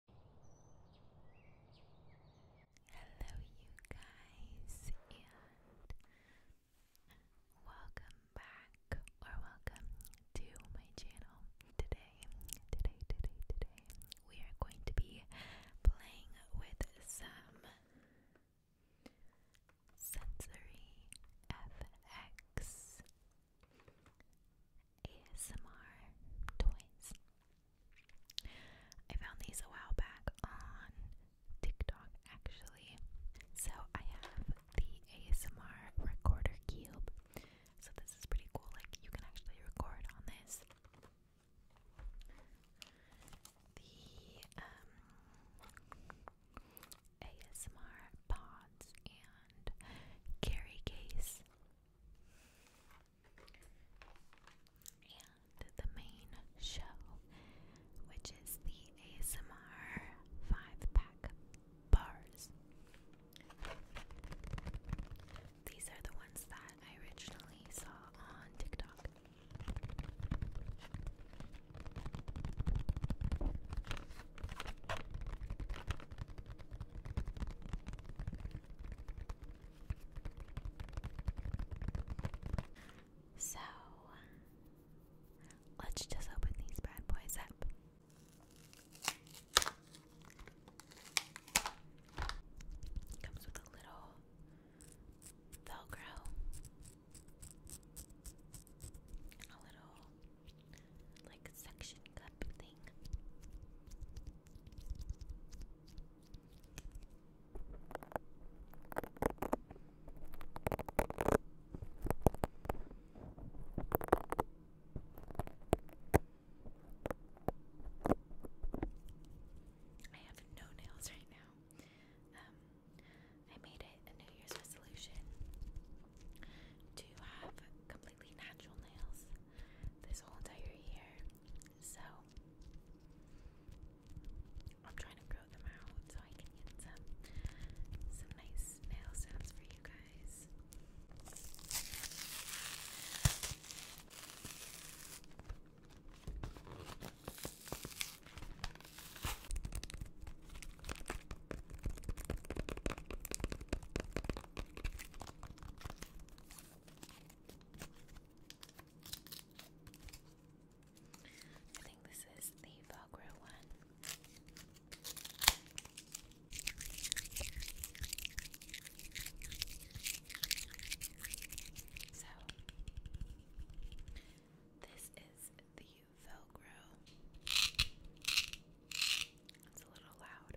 Hello, you guys, welcome back or welcome to my channel. Today, today, today, today, we are going to be playing with some sensory FX. ASMR toys. I found these a while back on TikTok actually. So I have the ASMR recorder cube. So this is pretty cool. Like you can actually record on this. The um ASMR pods and carry case and the main show, which is the ASMR five pack bars. These are the ones that I originally saw on TikTok. So let's just open these bad boys up. Comes with a little Velcro, a little like suction cup thing. I have no nails right now. Um, I made it a New Year's resolution to have completely natural nails this whole entire year. So I'm trying to grow them out so I can get some some nice nail sounds for you guys. I think this is the Velcro one. So, this is the Velcro. It's a little loud.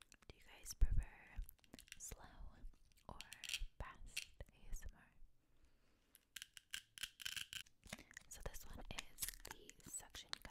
Do you guys prefer slow or fast ASMR? So this one is the suction cup.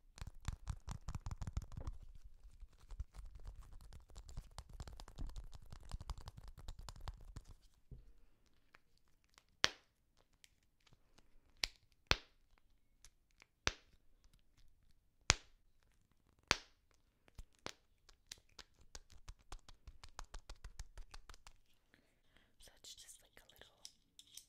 So it's just like a little Something like,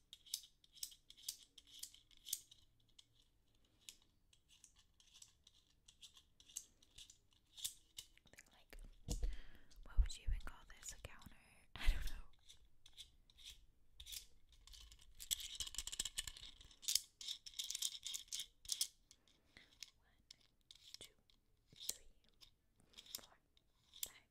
what would you even call this? A counter? I don't know. One, two, three, four, five,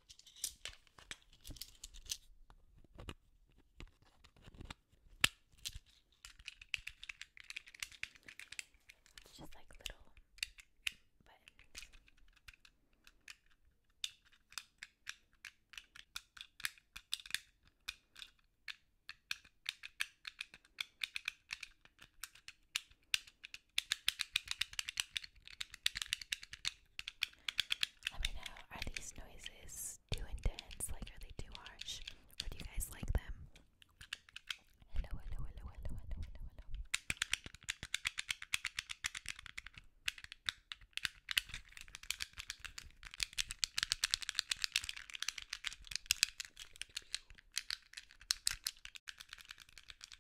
It's just like little buttons. Let me know, are these noises too intense? Like, are they too harsh? Or do you guys like them? Hello, hello, hello, hello, hello, hello, hello.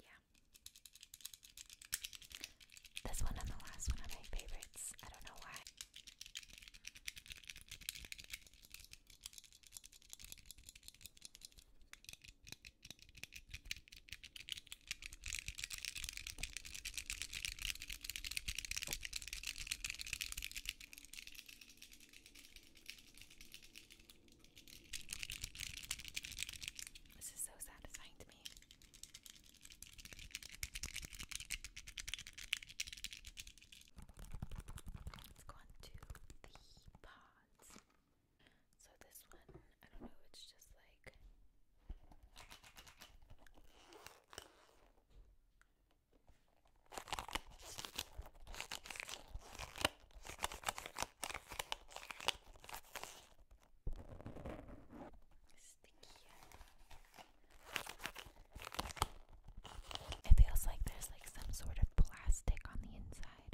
Yeah. This one and the last one are my favorites. I don't know why. This is so satisfying to me. Let's go on to the pods. So this one, I don't know, it's just like it feels like there's like some sort of plastic on the inside.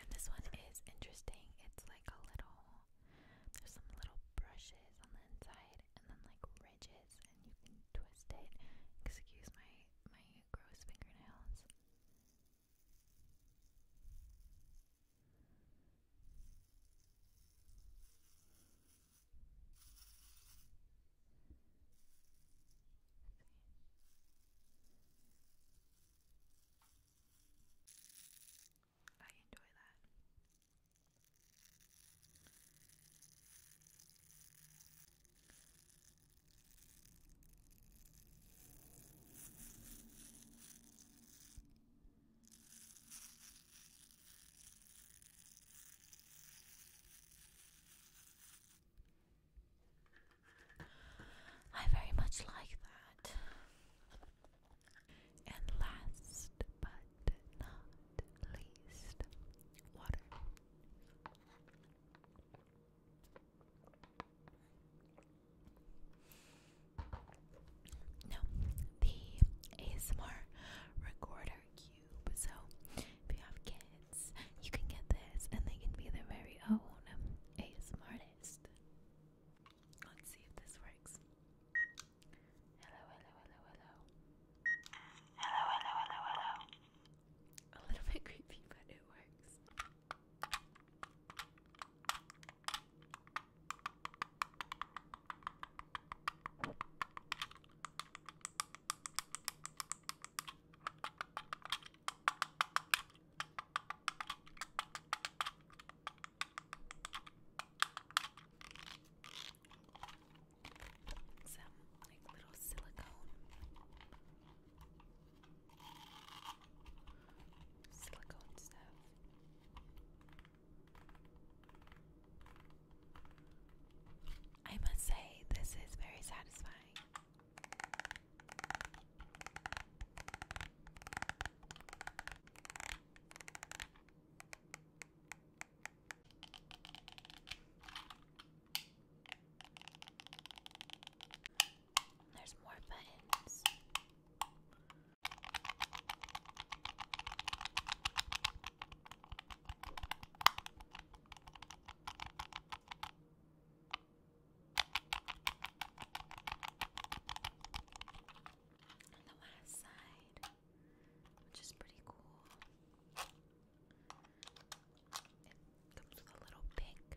And this one is interesting. It's like a little, there's some little brushes on the inside and then like ridges, and you can twist it. Excuse my my gross fingernails. I enjoy that. I very much like that. And last but not least water. Now, the ASMR recorder cube. So, if you have kids, you can get this and they can be their very own ASMR artist. Let's see if this works. Hello, hello, hello, hello. Hello, hello, hello, hello. A little bit creepy, but it works some like little silicone silicone stuff. I must say, this is very satisfying. There's more buttons. the last side which is pretty cool. It comes with a little pink.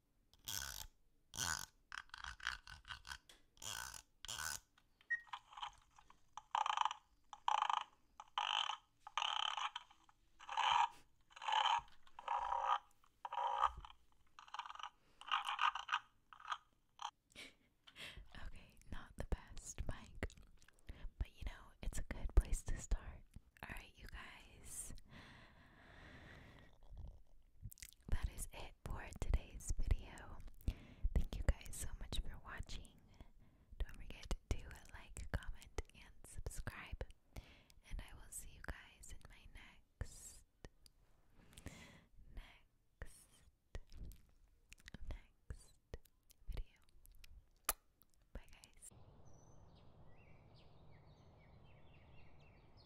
okay, not the best mic, but you know, it's a good place to start. Alright, you guys, that is it for today's video. Thank you guys so much for watching. Don't forget to like, comment, and subscribe. And I will see you guys in my next, next, next video. Bye, guys.